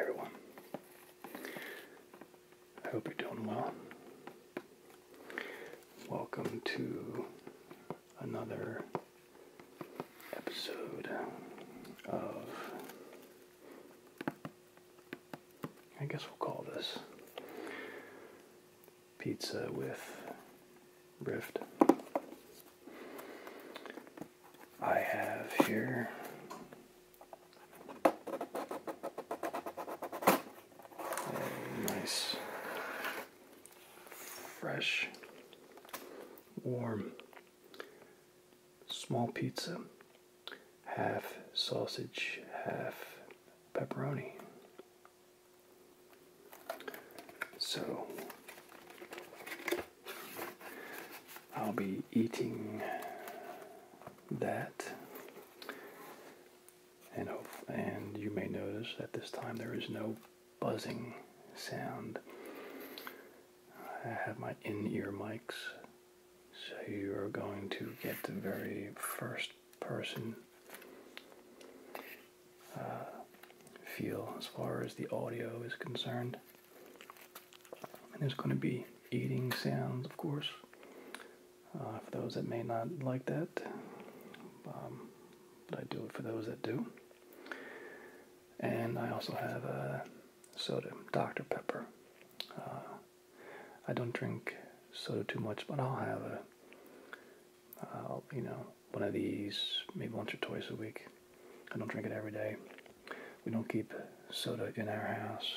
everyone, I hope you're doing well. Welcome to another episode of, I guess we'll call this pizza with Rift. I have here a nice, fresh, warm, small pizza, half sausage, half pepperoni. So I'll be eating that. And, and you may notice that this time there is no buzzing sound. I have my in-ear mics, so you are going to get the very first person uh, feel as far as the audio is concerned. And there's going to be eating sounds, of course, uh, for those that may not like that. Um, but I do it for those that do. And I also have a uh, soda, Dr. Pepper. I don't drink soda too much, but I'll have a, you know, one of these maybe once or twice a week. I don't drink it every day. We don't keep soda in our house.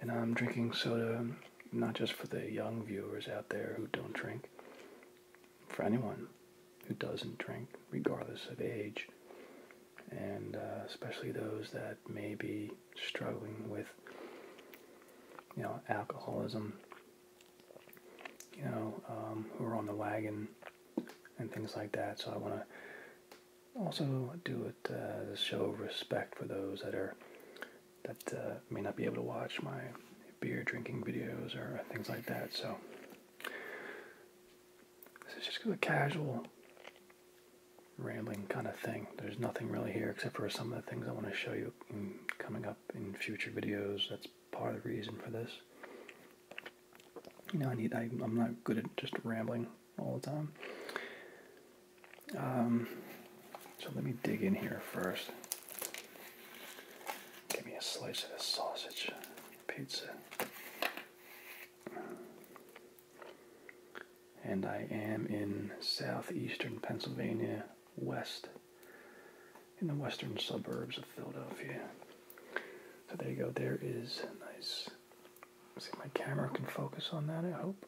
And I'm drinking soda not just for the young viewers out there who don't drink, for anyone who doesn't drink, regardless of age, and uh, especially those that may be struggling with, you know, alcoholism you know, um, who are on the wagon and things like that. So I want to also do it uh, to show respect for those that are that uh, may not be able to watch my beer drinking videos or things like that. So this is just a casual rambling kind of thing. There's nothing really here except for some of the things I want to show you coming up in future videos. That's part of the reason for this. You know, I need. I, am not good at just rambling all the time. Um, so let me dig in here first. Give me a slice of this sausage pizza. And I am in southeastern Pennsylvania, west in the western suburbs of Philadelphia. So there you go. There is a nice. see, if my camera can focus on that. I hope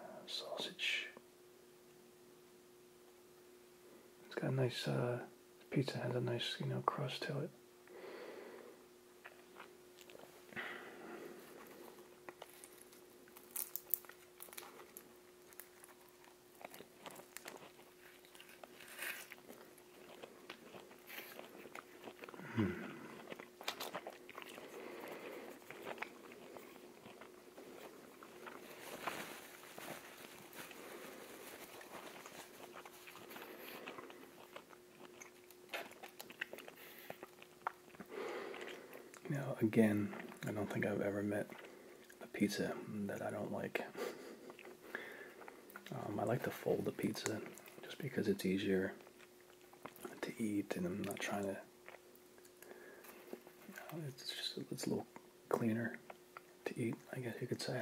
uh, sausage. It's got a nice uh, pizza. Has a nice you know crust to it. Hmm. Now, again, I don't think I've ever met the pizza that I don't like. Um, I like to fold the pizza just because it's easier to eat, and I'm not trying to. it's just it's a little cleaner to eat, I guess you could say.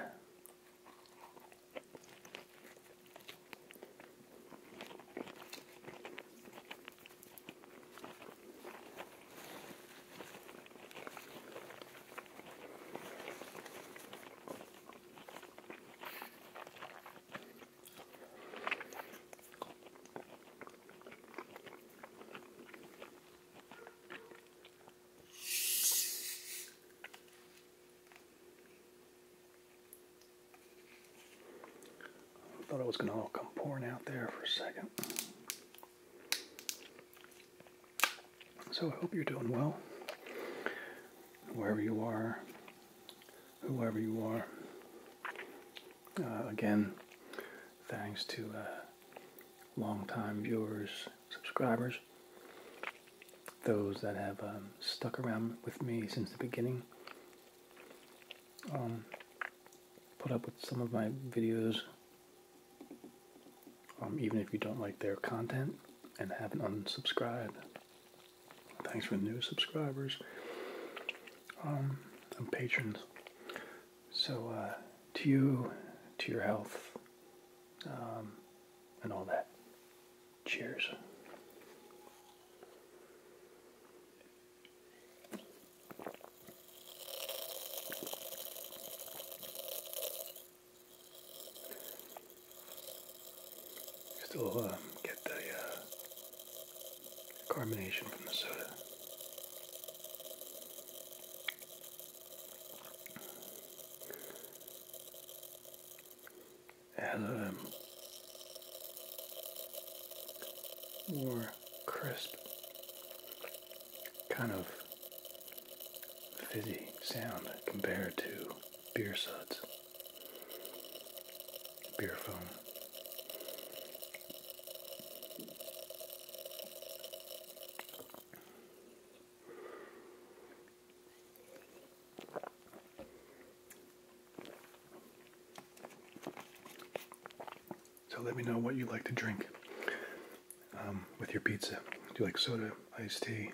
I thought I was going to all come pouring out there for a second. So I hope you're doing well, wherever you are, whoever you are. Uh, again, thanks to uh, longtime viewers, subscribers, those that have um, stuck around with me since the beginning. Um, put up with some of my videos um, even if you don't like their content and haven't unsubscribed. Thanks for new subscribers um, and patrons. So, uh, to you, to your health, um, and all that. Cheers. Still uh, get the uh, carbonation from the soda. It um, more crisp kind of fizzy sound compared to beer suds, beer foam. So let me know what you like to drink um, with your pizza. Do you like soda, iced tea?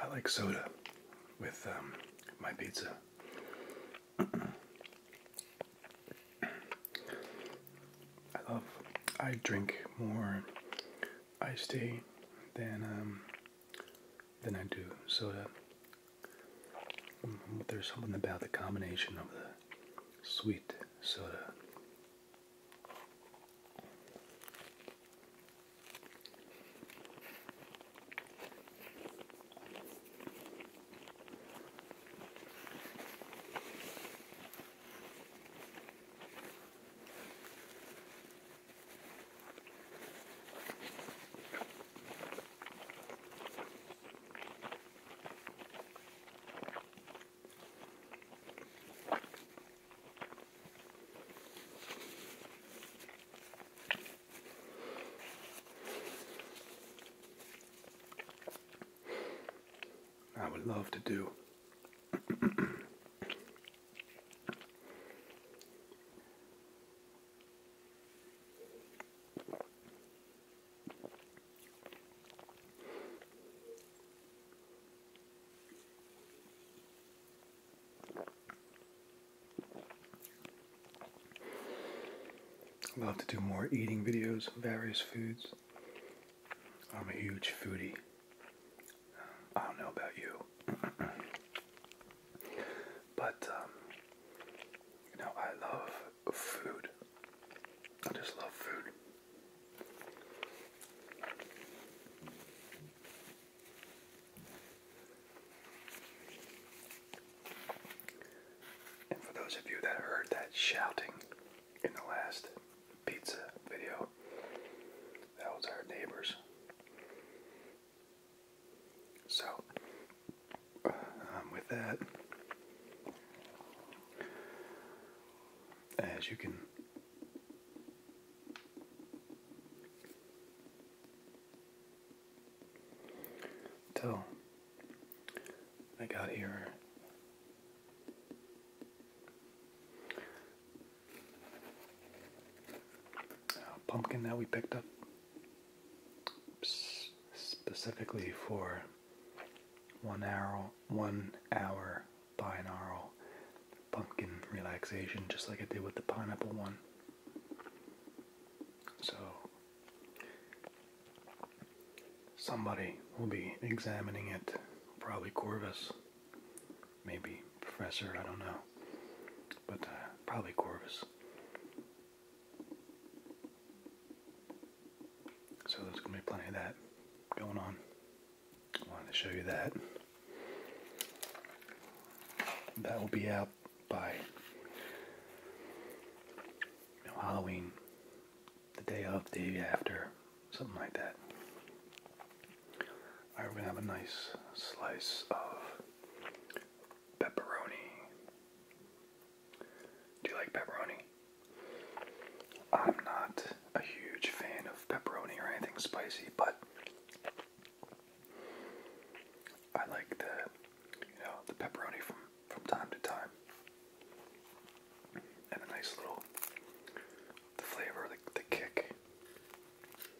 I like soda with um, my pizza. I love, I drink more iced tea, then um, then I do soda. Um, there's something about the combination of the sweet soda. I would love to do I'll to do more eating videos, various foods. I'm a huge foodie. I don't know about you, but um, you know I love food. I just love food. And for those of you that heard that shouting in the last pizza video. That was our neighbors. So, um, with that, as you can tell, I got here pumpkin that we picked up specifically for one hour, one hour binaural pumpkin relaxation, just like I did with the pineapple one. So somebody will be examining it, probably Corvus. Maybe Professor, I don't know. But uh, probably Corvus. So there's going to be plenty of that going on. I wanted to show you that. That will be out by Halloween, the day of, the day after, something like that. Alright, we're gonna have a nice slice of pepperoni. Do you like pepperoni? I'm not a huge fan of pepperoni or anything spicy, but I like the you know the pepperoni from from time to time. And a nice little the flavor, the the kick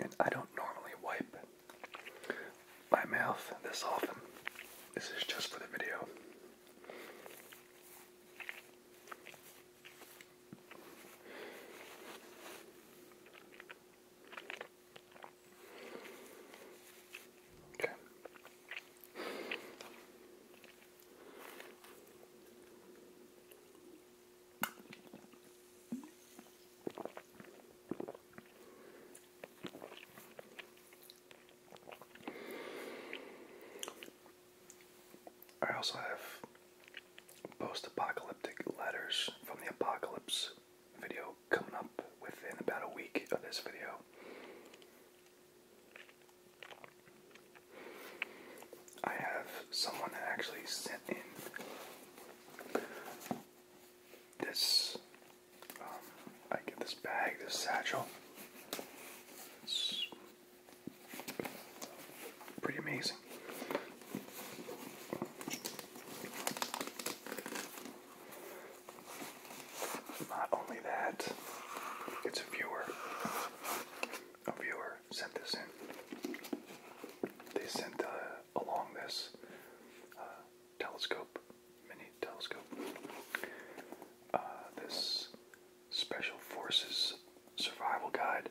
and I don't normally wipe my mouth this often. This is just for the video. Okay. I also have post apocalyptic letters from the apocalypse video coming up within about a week of this video. I have someone actually sent in this. Um, I get this bag, this satchel. pretty amazing. Not only that, it's a viewer. A viewer sent this in. They sent uh, along this uh, telescope, mini telescope, uh, this Special Forces Survival Guide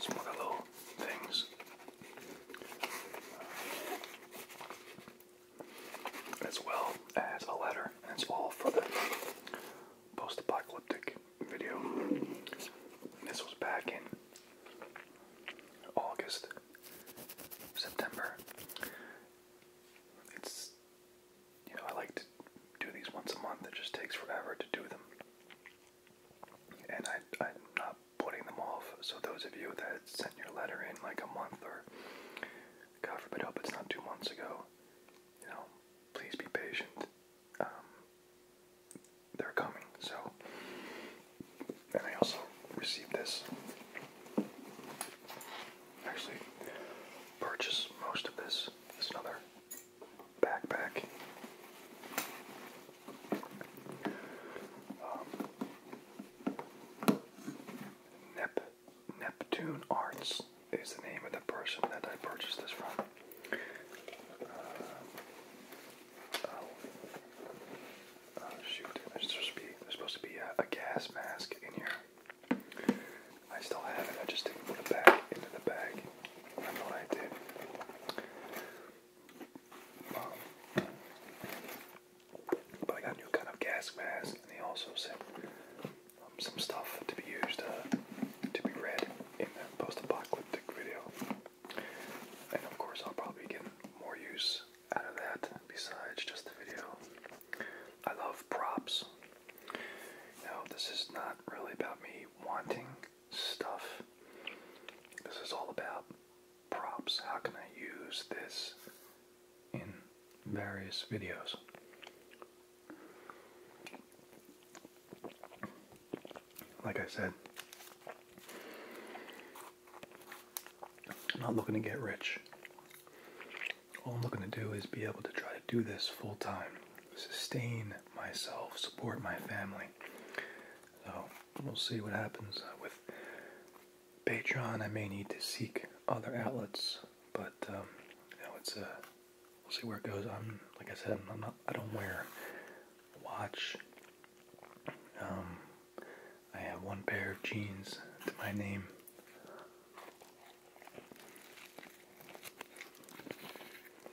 some other little things. As well as a letter, That's all for the post apocalyptic video. this was back in August, September. It's, you know, I like to do these once a month, it just takes forever to do them and I, am not putting them off. So those of you that sent your letter in like a month or God forbid, hope it's not two months ago, you know, please be patient. Um, they're coming. So, and I also received this. Actually, purchased most of this. It's another backpack. Um, Neptune Arts is the name of the person that I purchased this from. Uh, oh, uh, shoot! There's supposed to be, a, gas mask in here. I still have it. I just put it back into the bag. I know I did. Um, but I got a new kind of gas mask, and they also sent um, some stuff to be used uh, to be read in the post-apocalyptic video. And of course, I'll probably get more use out of that besides just the video. I love props. Now, this is not really about me wanting stuff. This is all about props. How can I use this in various videos? Like I said, I'm not looking to get rich. All I'm looking to do is be able to try to do this full time, sustain myself, support my family. So we'll see what happens uh, with Patreon. I may need to seek other outlets, but um, you know it's a. Uh, we'll see where it goes. I'm like I said, I'm not. I don't wear a watch. Um, I have one pair of jeans to my name.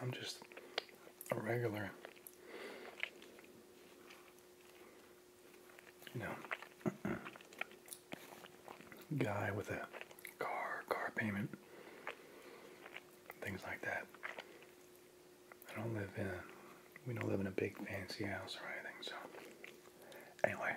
I'm just a regular, you know, guy with a car, car payment, things like that. I don't live in we don't live in a big fancy house or anything, so anyway.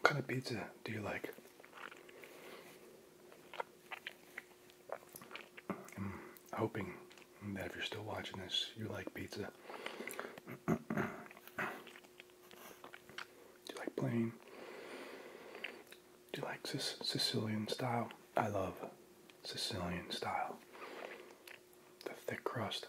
What kind of pizza do you like? I'm hoping that if you're still watching this, you like pizza. Do you like plain? Do you like this Sicilian style? I love Sicilian style. The thick crust.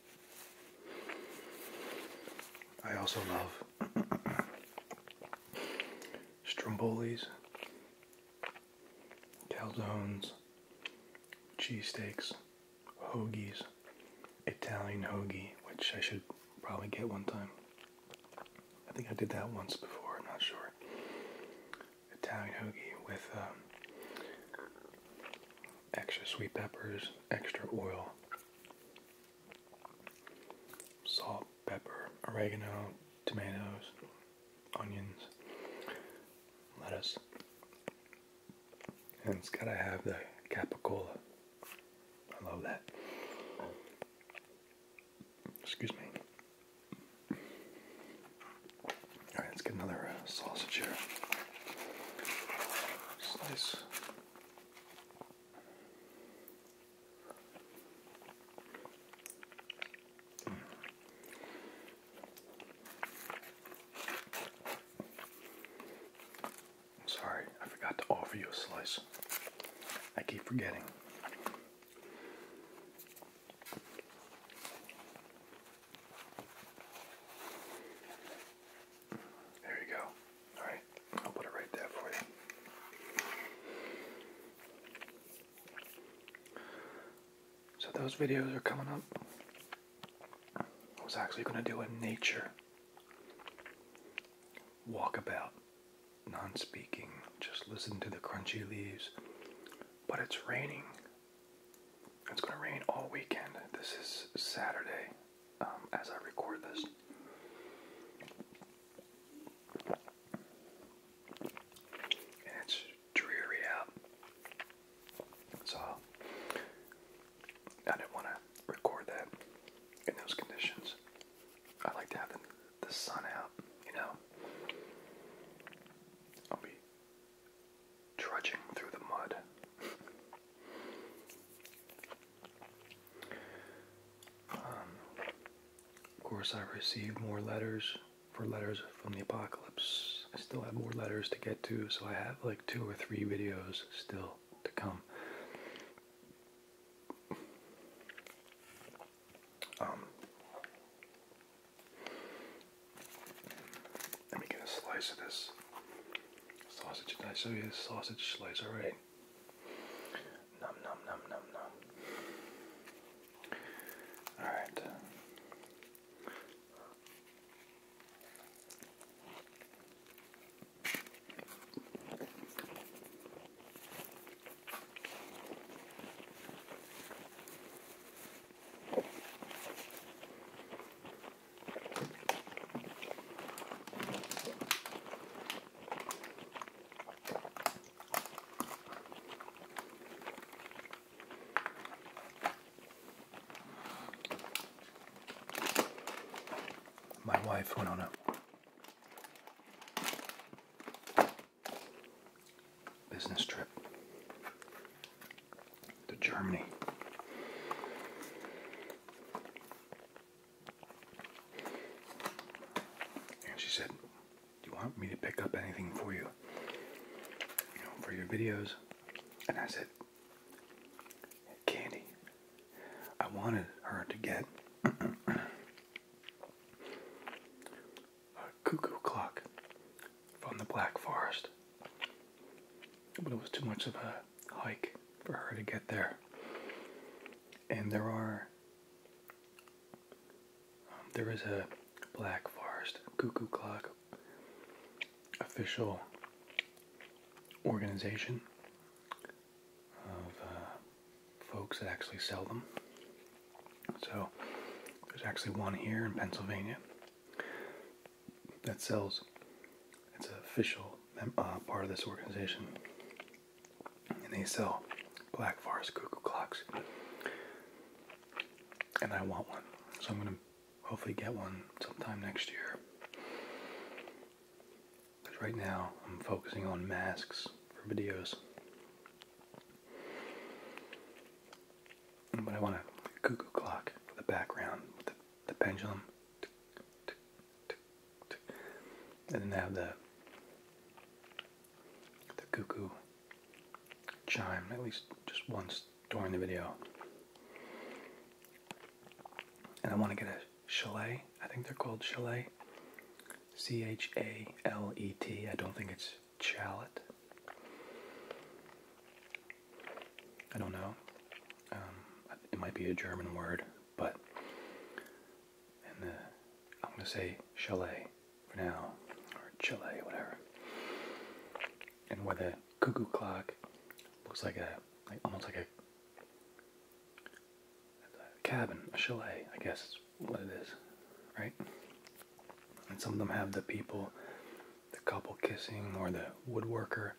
I also love Strombolis, calzones, cheesesteaks, hoagies, Italian hoagie, which I should probably get one time. I think I did that once before, not sure. Italian hoagie with um, extra sweet peppers, extra oil, salt, pepper, oregano, tomatoes, onions, lettuce. And it's gotta have the capicola. I love that. Excuse me. Alright, let's get another uh, sausage here. Slice Sorry, I forgot to offer you a slice. I keep forgetting. There you go. All right, I'll put it right there for you. So those videos are coming up. I was actually going to do a nature walkabout, non-speaking, just listen to the crunchy leaves. But it's raining. It's going to rain all weekend. This is Saturday, um, as I record this. it's dreary out. So I didn't want to record that in those conditions. I like to have the, the sun out, you know. I'll be trudging through the mud. Um, of course, I received more letters for letters from the apocalypse. I still have more letters to get to, so I have like two or three videos still to come. Um, let me get a slice of this. Sausage today, so here's sausage slice, alright. Nom nom nom nom nom. Alright. My wife went on a business trip to Germany. And she said, Do you want me to pick up anything for you? for your videos? And I said, Candy. I wanted her to get a cuckoo clock from the Black Forest. But it was too much of a hike for her to get there. And there are, um, there is a Black Forest Cuckoo Clock official organization of uh, folks that actually sell them. So there's actually one here in Pennsylvania that sells it's an official uh, part of this organization. And they sell Black Forest cuckoo clocks. And I want one. So I'm going to hopefully get one sometime next year. But right now I'm focusing on masks for videos. But I want a cuckoo clock for the background with the pendulum and then they have the the cuckoo chime at least just once during the video. And I want to get a chalet. I think they're called chalet. C H A L E T. I don't think it's chalet. I don't know. Um, it might be a German word, but and the, uh, I'm gonna say chalet for now, or Chile, whatever. And where the cuckoo clock looks like a, like almost like a, a cabin, a chalet, I guess is what it is, right? And some of them have the people, the couple kissing, or the woodworker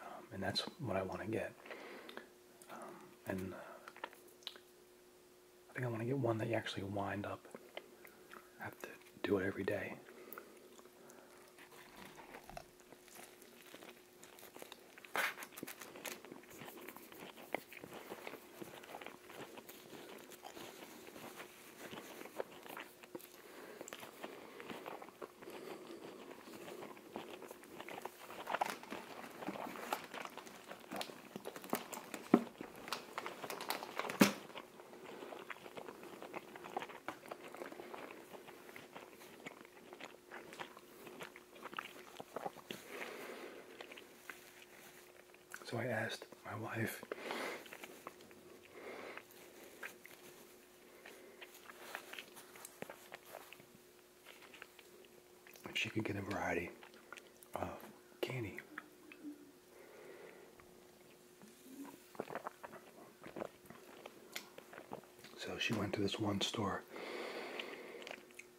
um, and that's what I want to get. Um, and uh, I think I want to get one that you actually wind up. have to do it every day. So I asked my wife she could get a variety of candy. So she went to this one store,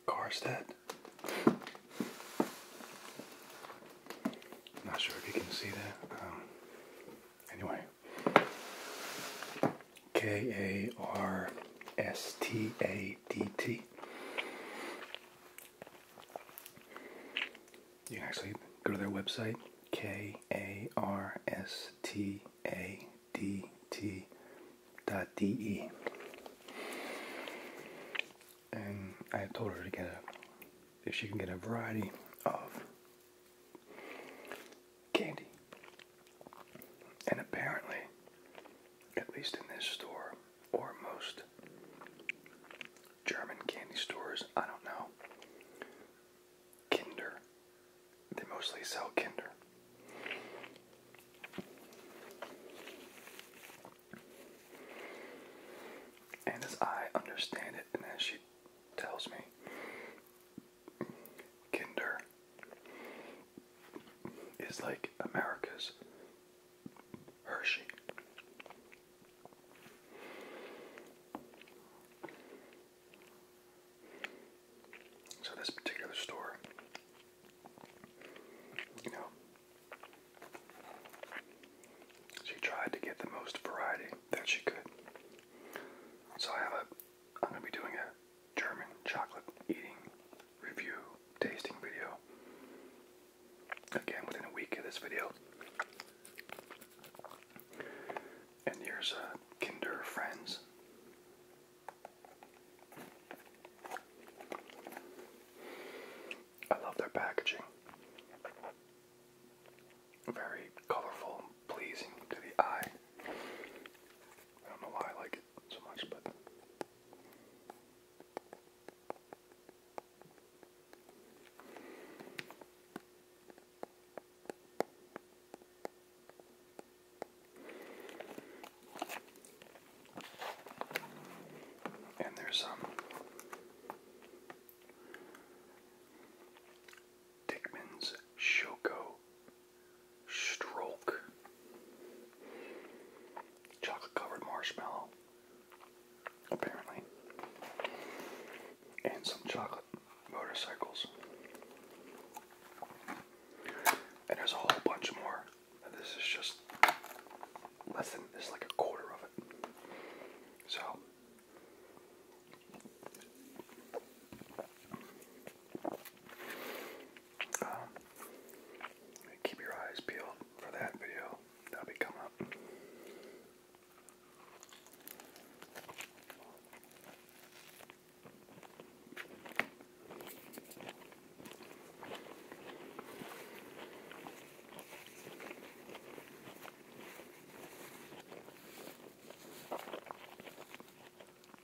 Karstedt. Not sure if you can see that. Um, anyway, K A R S T A D T. You can actually go to their website, K A R S T A D T dot D E. And I told her to get a, if she can get a variety of candy. And apparently, at least in this store, or most German candy stores, I don't know, Kinder. They mostly sell Kinder. And as I understand it, and as she tells me, Kinder is like America's Hershey. So this particular store, you know, she tried to get the most variety that she could. So I have a, I'm gonna be doing a German chocolate eating review tasting video. Again, within a week of this video. And here's uh, Kinder Friends. I love their packaging. Very colorful pleasing to the eye. I don't know why I like it so much, but. And there's some um, Dickman's Shoko stroke, chocolate covered marshmallow, apparently, and some chocolate motorcycles. And there's a whole bunch more. this is just less than this like a quarter of it. So um, keep your eyes peeled for that video. That'll be coming up.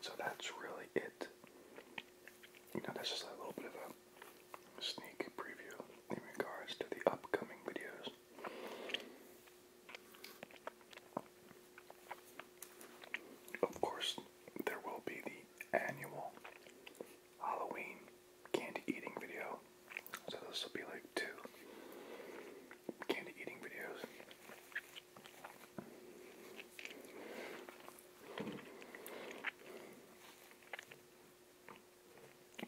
So that's really it. You know, that's just a little bit of a sneak preview in regards to the upcoming videos. Of course, there will be the annual Halloween candy eating video. So this will be like two candy eating videos.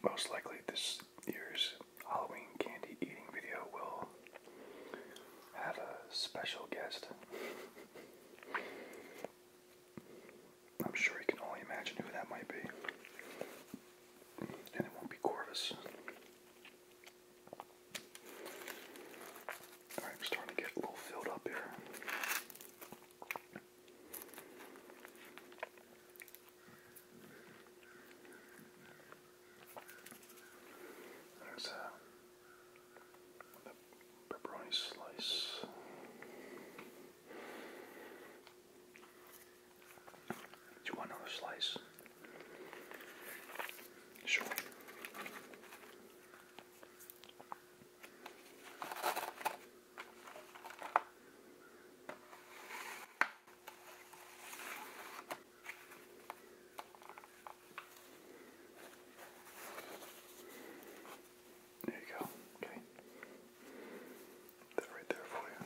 Most likely this year's Halloween candy eating video will have a special guest. I'm sure you can only imagine who that might be. And it won't be Corvus. Alright, starting to get a little filled up here. There's a uh, a pepperoni slice. Do you want another slice? Sure. There you go. Okay. That right there for you.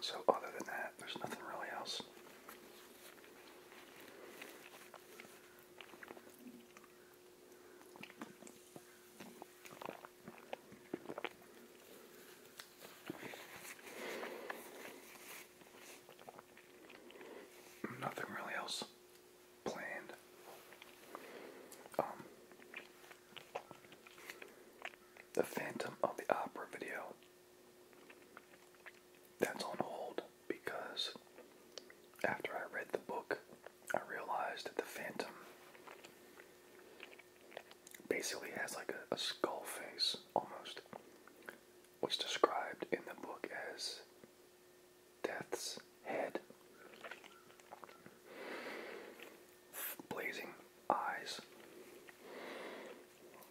So, other than that, there's nothing really else. Nothing really else planned. Um, the Phantom of the Opera video. That's on hold because after I read the book, I realized that the Phantom basically has like a, skull face almost. What's described in the book as Death's head. Blazing eyes.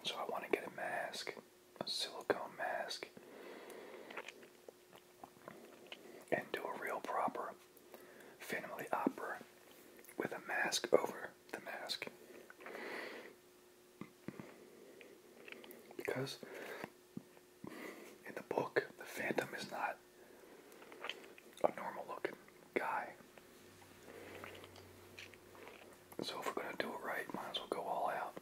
So I want to get a mask, a silicone mask, and do a real proper family opera with a mask over the mask. Because in the book, the Phantom is not a normal looking guy. So if we're gonna do it right, might as well go all out.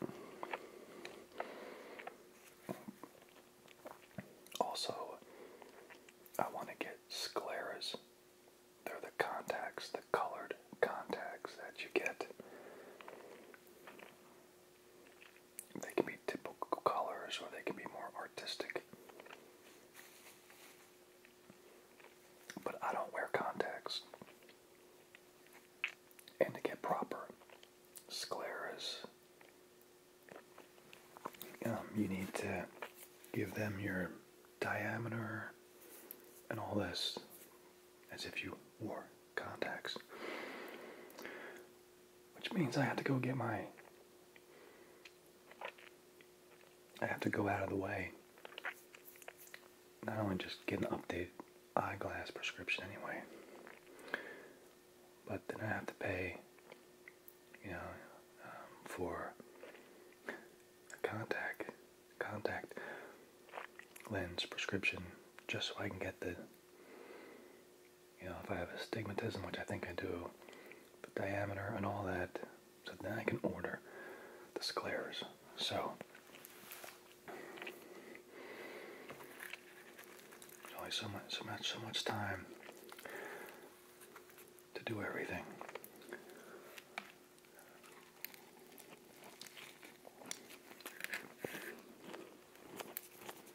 Also, I want to get scleras. They're the contacts, the colored contacts that you get. They can be typical colors or they can be more artistic. But I don't wear contacts. And to get proper scleras, um, you need to give them your diameter and all this as if you wore contacts. Which means I have to go get my. I have to go out of the way. Not only just get an update, eyeglass prescription anyway, but then I have to pay, you know, um, for a contact contact lens prescription just so I can get the you know, if I have astigmatism, which I think I do, the diameter and all that, so then I can order the scleras. So, there's only so much, so much, so much time to do everything.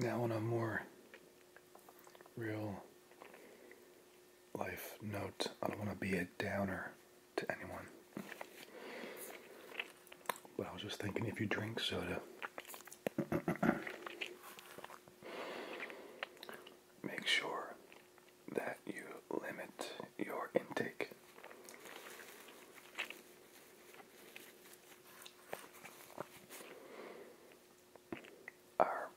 Now, on a more real life note, I don't want to be a downer to anyone. But I was just thinking if you drink soda, make sure that you limit your intake. Our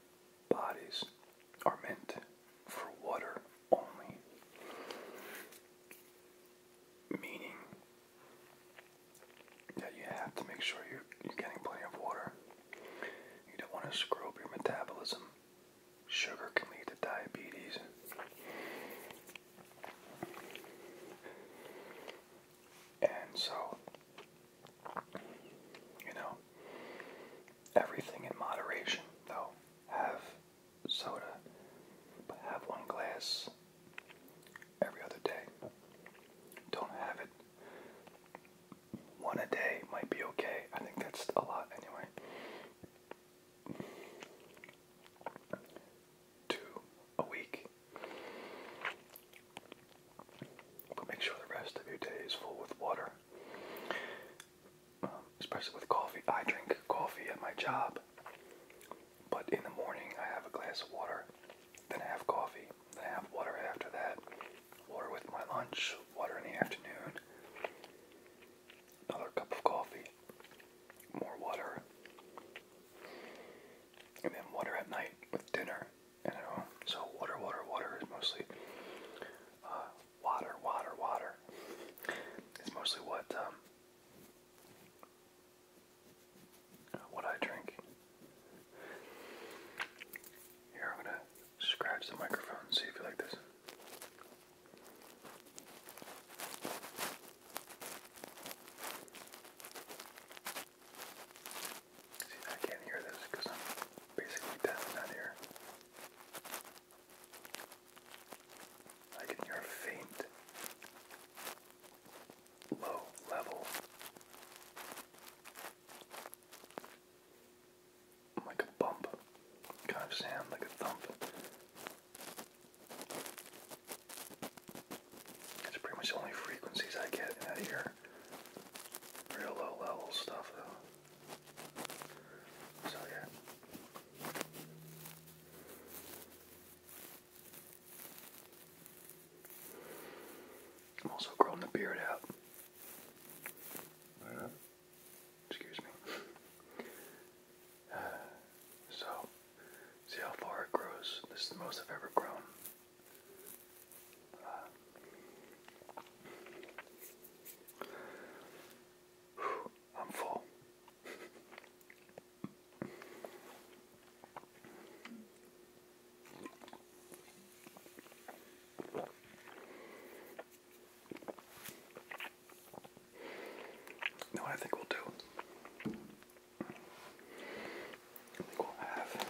bodies are meant for water only, meaning that you have to make sure you're, getting plenty of water. You don't want to screw up your metabolism Sugar can lead to diabetes. And so, you know, everything in moderation, though. Have soda, but have one glass every other day. Don't have it. One a day might be okay. I think that's a lot anyway two a week. But make sure the rest of your day is full with water, um, especially with coffee. I drink coffee at my job, but in the morning I have a glass of water, then I have coffee, then I have water after that, water with my lunch, water in the afternoon another cup of coffee, more water, and then water at night with dinner. You know, so water, water, water is mostly uh, water, water, water. It's mostly what um, what I drink. Here, I'm gonna scratch the microphone see if you like this. See, I can't hear this because I'm basically deaf in that I can hear a faint, low level, like a bump, kind of sound, like a thump. That's pretty much the only frequencies I get in that Real low level stuff though. So yeah. I'm also growing the beard out. Uh, excuse me. Uh, so, see how far it grows. This is the most I've ever grown. Uh, whew, I'm full. No, I think we'll do. we'll have.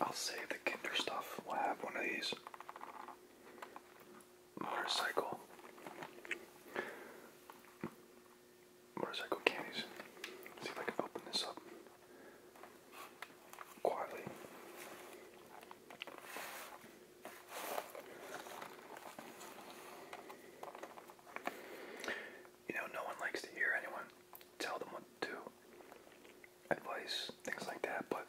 I'll save the Kinder stuff. We'll have one of these. Motorcycle motorcycle candies. see if I can open this up quietly. You know, no one likes to hear anyone tell them what to do, advice, things like that, but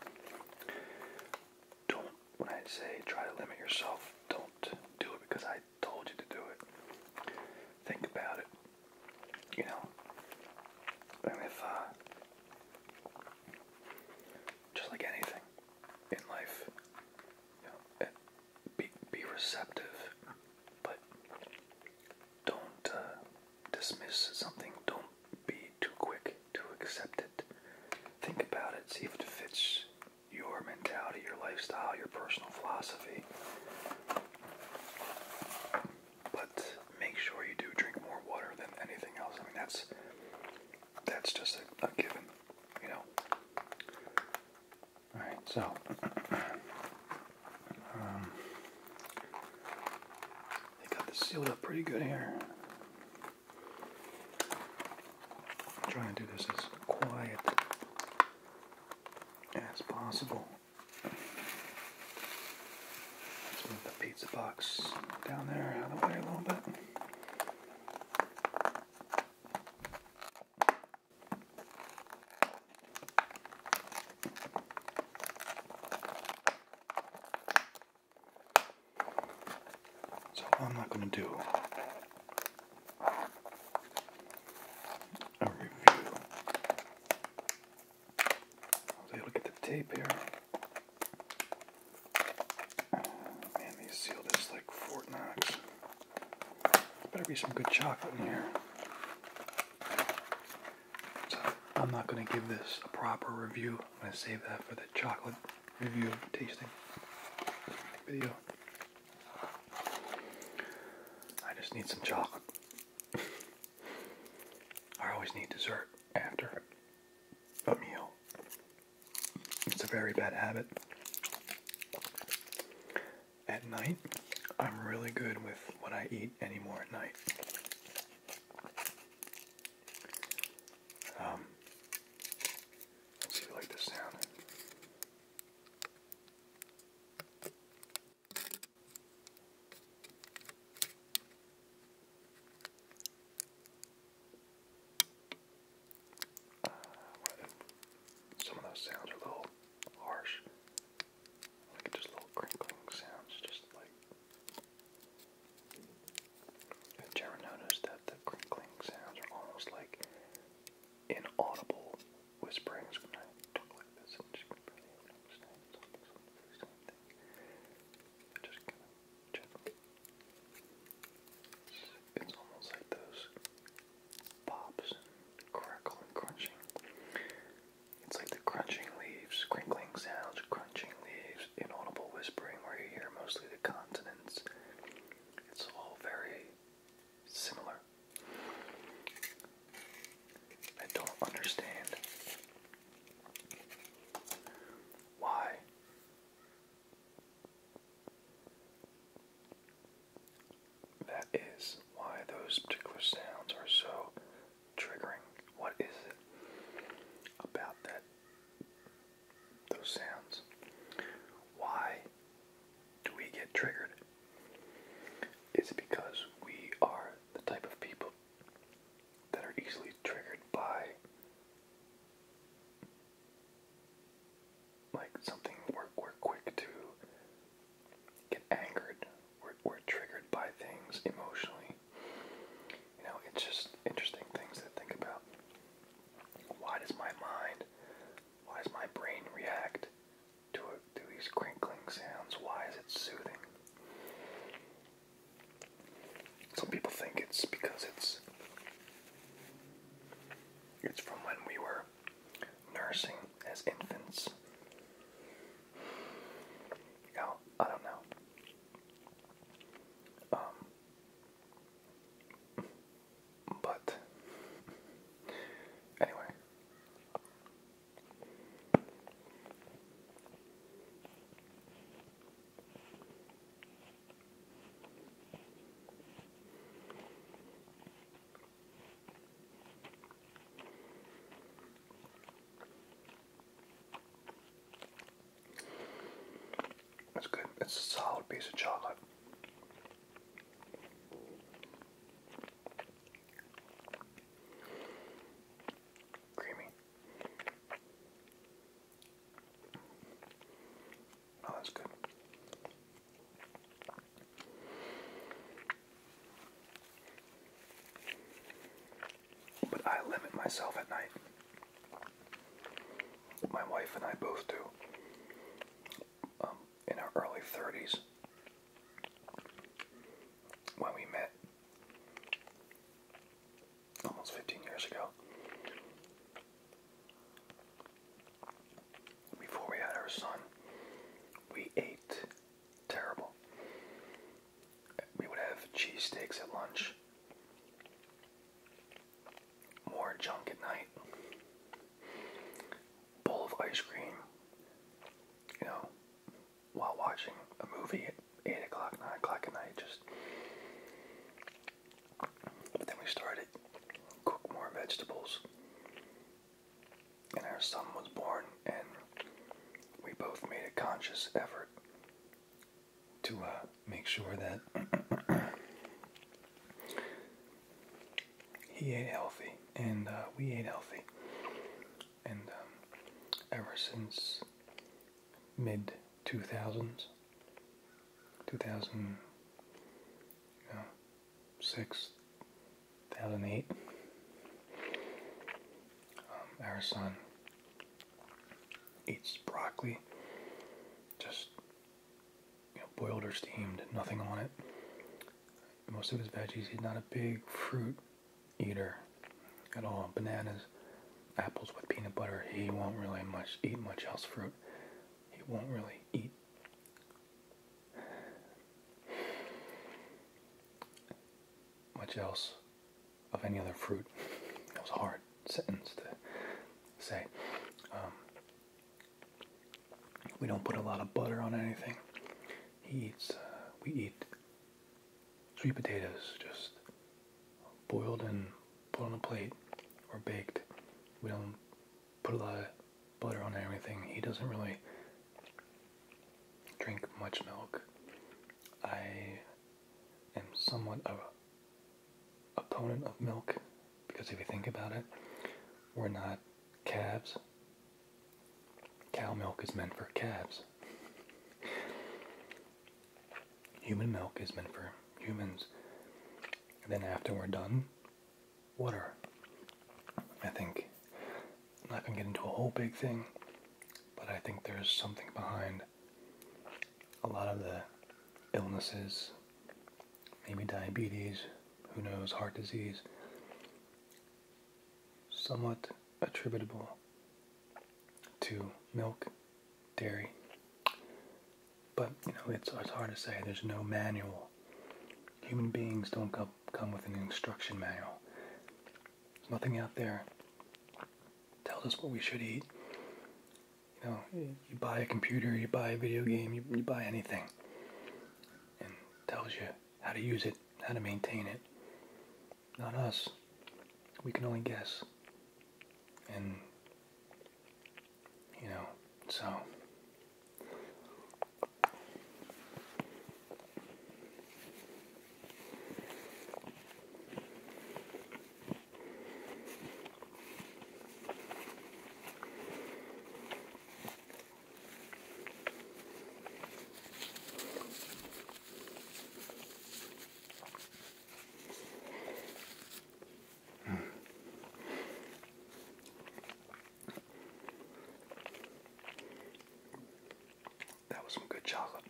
don't, when I say try to limit yourself, don't do it because I told you to do it. Think about it you know, and if uh, just like anything in life, you know, eh, be be receptive, but don't uh, dismiss something. Don't be too quick to accept it. Think about it. See if it fits your mentality, your lifestyle, your personal philosophy but make sure you do drink more water than anything else. I mean, that's that's just a, given, you know. All right, so um, they got this sealed up pretty good here. I'm trying to do this as quiet as possible move the pizza box down there out of the way a little bit. So I'm not going to do a review I was able to get the tape here. Man, they sealed this like Fort Knox. Better be some good chocolate in here. I'm not going to give this a proper review. I'm going to save that for the chocolate review tasting video. I just need some chocolate. I always need dessert after a meal. It's a very bad habit. At night, I'm really good with what I eat anymore at night. Um, see if I like this sound. Uh, some of those sounds are a little harsh. Like just little crinkling sounds, just like. Have you ever noticed that the crinkling sounds are almost like inaudible whisperings It's almost like those pops crackle and crunching. It's like the crunching leaves, crinkling sounds, crunching leaves, inaudible whispering where you hear mostly the consonants. It's all very similar. I don't understand why that is, why those particular sounds are so triggering. What is it about that? Those sounds. Why do we get triggered? It's because we are the type of people that are easily triggered by like something we're, quick to get angered we're triggered by things emotionally you know it's just interesting things to think about why does my mind why does my brain react to, uh, these crinkling sounds? Why is it soothing? Some people think it's because it's it's from when we were nursing as infants. Now, oh, I don't know. Um, but anyway, it's good. It's a solid piece of chocolate creamy. Oh, that's good. But I limit myself at night. My wife and I both do. Um, in our early 30s, when we met almost 15 years ago. Before we had our son, we ate terrible. We would have cheesesteaks at lunch, more junk at night, bowl of ice cream, you know, while watching a movie at eight o'clock, nine o'clock at night. Just but then we started cook more vegetables, and our son was born, and we both made a conscious effort to uh, make sure that he ate healthy and uh, we ate healthy and um, ever since mid 2000s two thousand six, 2008 um, our son eats broccoli just boiled or steamed nothing on it most of his veggies he's not a big fruit eater at all. Bananas, apples with peanut butter, he won't really much eat much else fruit. He won't really eat. Much else of any other fruit. It was a hard sentence to say. Um, we don't put a lot of butter on anything. He eats. Uh, we eat sweet potatoes just boiled and put on a plate or baked. We don't put a lot of butter on anything. He doesn't really drink much milk. I am somewhat of a opponent of milk because if you think about it, we're not calves. Cow milk is meant for calves. Human milk is meant for humans. And then after we're done, water. I think I'm not gonna get into a whole big thing, but I think there's something behind a lot of the illnesses, maybe diabetes, who knows, heart disease, somewhat attributable to milk, dairy. But, you know, it's, it's hard to say. There's no manual. Human beings don't come, come with an instruction manual. There's nothing out there tells us what we should eat. You know, you buy a computer, you buy a video game, you, you buy anything, and tells you how to use it, how to maintain it, not us. We can only guess. And, you know, so. Hmm. That was some good chocolate.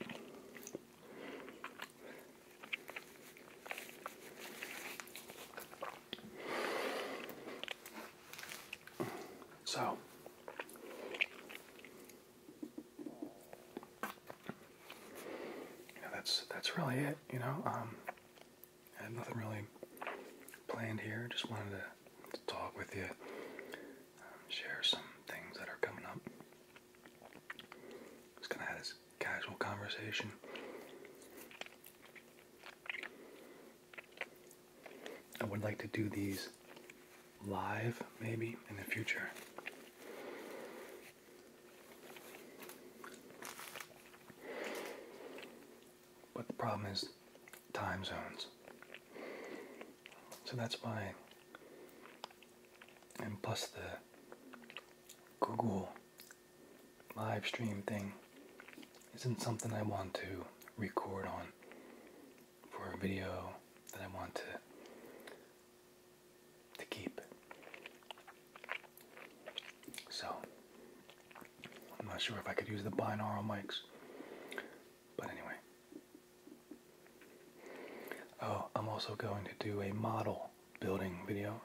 So, that's that's really it. You know, um, I had nothing really planned here. Just wanted to, talk with you, um, share some things that are coming up. Just gonna have this casual conversation. I would like to do these live maybe in the future. But the problem is time zones. So that's why, and plus the Google live stream thing isn't something I want to record on for a video that I want to to keep. So, I'm not sure if I could use the binaural mics. But anyway. Oh, I'm also going to do a model building video.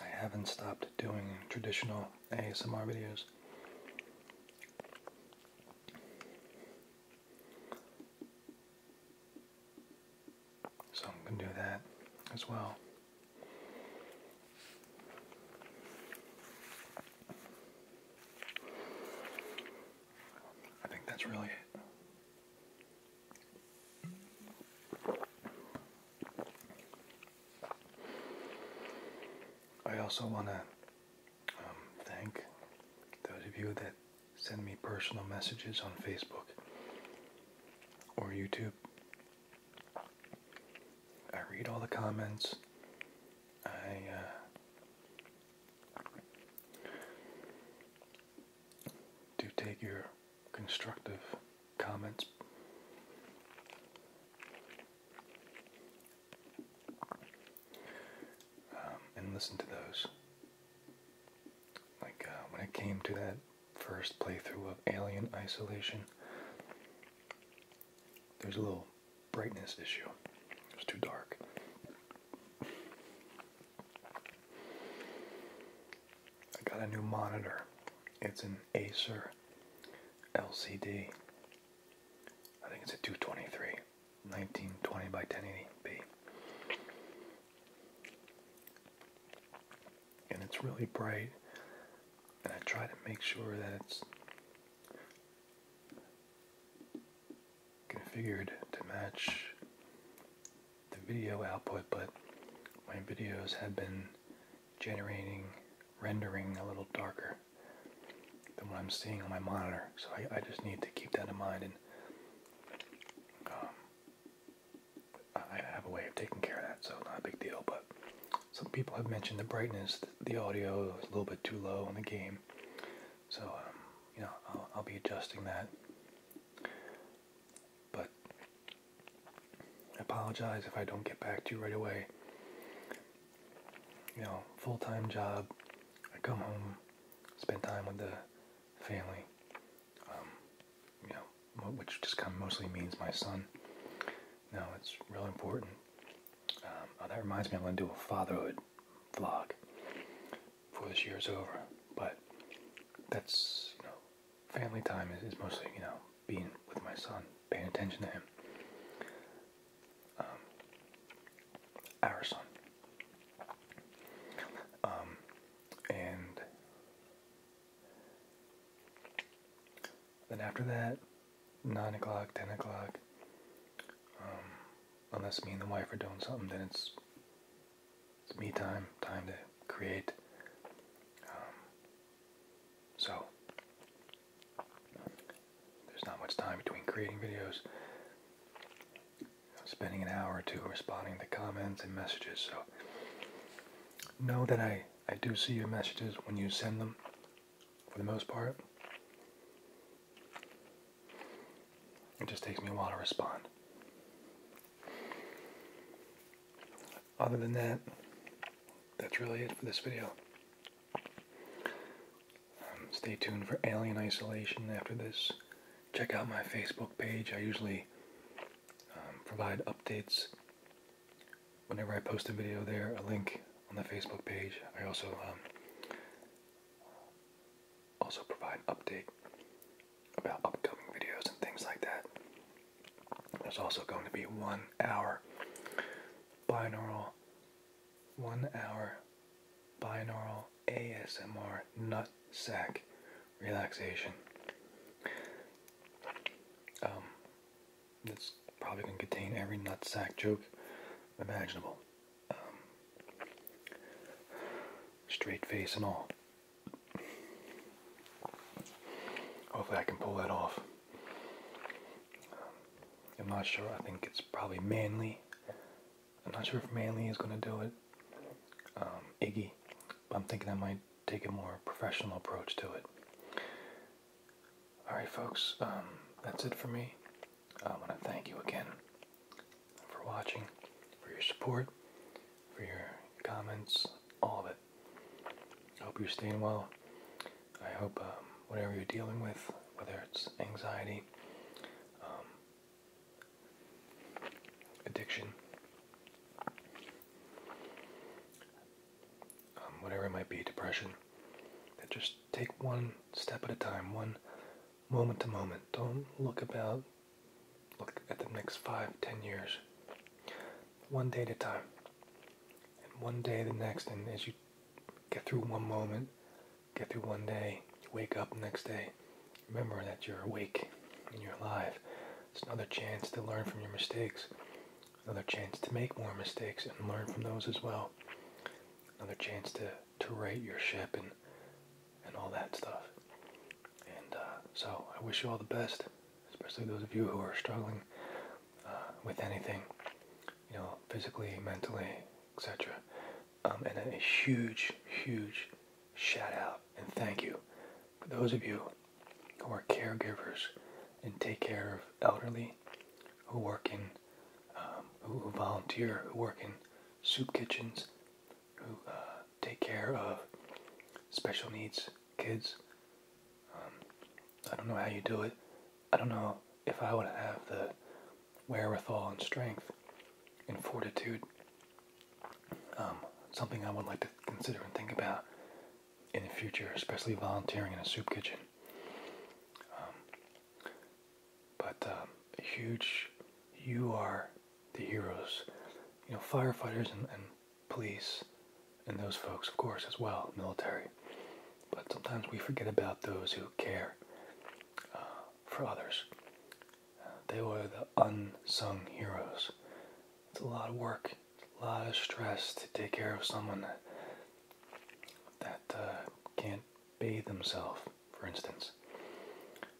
I haven't stopped doing traditional ASMR videos. So I'm going to do that as well. I think that's really it. I also want to um, thank those of you that send me personal messages on Facebook or YouTube. I read all the comments. I uh, do take your constructive comments um, and listen to those. Like uh, when it came to that first playthrough of Alien Isolation, there's a little brightness issue. It's too dark. I got a new monitor. It's an Acer LCD. I think it's a 223. 1920 by 1080p. And it's really bright, and I try to make sure that it's configured to match the video output, but my videos have been generating rendering a little darker than what I'm seeing on my monitor. So I, just need to keep that in mind, and um, I have a way of taking care of that, so not a big deal. But some people have mentioned the brightness, the audio is a little bit too low on the game, so um, you know I'll, I'll be adjusting that. But I apologize if I don't get back to you right away. You know, full time job. I come home spend time with the family. Um, you know, which just kind of mostly means my son. Now it's really important. Um, that reminds me, I'm going to do a fatherhood vlog before this year is over. But that's family time is, is mostly you know being with my son, paying attention to him um, Um, and then after that, 9 o'clock, 10 o'clock, um, unless me and the wife are doing something, then it's, it's me time, time to create. Um, so, there's not much time between creating videos. spending an hour or two responding to comments and messages, so know that I, I do see your messages when you send them, for the most part. It just takes me a while to respond. Other than that, that's really it for this video. Um, stay tuned for Alien Isolation after this. Check out my Facebook page. I usually um, provide updates whenever I post a video there, a link on the Facebook page. I also um, also provide an update about upcoming videos and things like that. There's also going to be one hour binaural one hour binaural ASMR nut sack relaxation. Um, this probably gonna contain every nut sack joke imaginable. Um, straight face and all. Hopefully, I can pull that off. Um, I'm not sure. I think it's probably manly I'm not sure if Manly is going to do it, um, Iggy, I'm thinking I might take a more professional approach to it. Alright, folks, um, that's it for me. I want to thank you again for watching, for your support, for your comments, all of it. I hope you're staying well. I hope um, whatever you're dealing with, whether it's anxiety, addiction, um, whatever it might be, depression. just take one step at a time, one moment to moment. Don't look about, look at the next five, ten years. One day at a time, and one day the next, and as you get through one moment, get through one day, wake up next day. Remember that you're awake and you're alive. It's another chance to learn from your mistakes, another chance to make more mistakes and learn from those as well, another chance to, to right your ship and, and all that stuff. And uh, so I wish you all the best, especially those of you who are struggling uh, with anything, you know, physically, mentally, etc. Um, and a huge, huge shout out and thank you for those of you who are caregivers and take care of elderly, who work in, um, who, volunteer, who work in soup kitchens, who uh, take care of special needs kids. Um, I don't know how you do it. I don't know if I would have the wherewithal and strength and fortitude. Um, something I would like to consider and think about in the future, especially volunteering in a soup kitchen. Um, but uh, huge, you are the heroes. You know, firefighters and, police and those folks, of course, as well, military. But sometimes we forget about those who care uh, for others, they were the unsung heroes. It's a lot of work, a lot of stress to take care of someone that, uh, can't bathe themselves, for instance.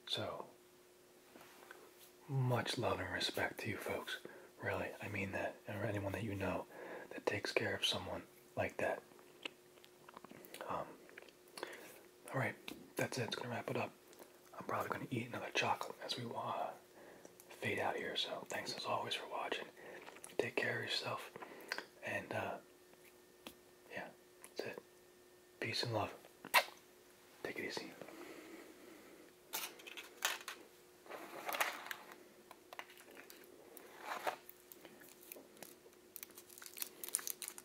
So, much love and respect to you folks. Really, I mean that. Or anyone that you know that takes care of someone like that. Um, all right, that's it. It's gonna wrap it up. I'm probably gonna eat another chocolate as we uh, fade out here. So thanks as always for watching. Take care of yourself, and uh, yeah, that's it. Peace and love. Take it easy.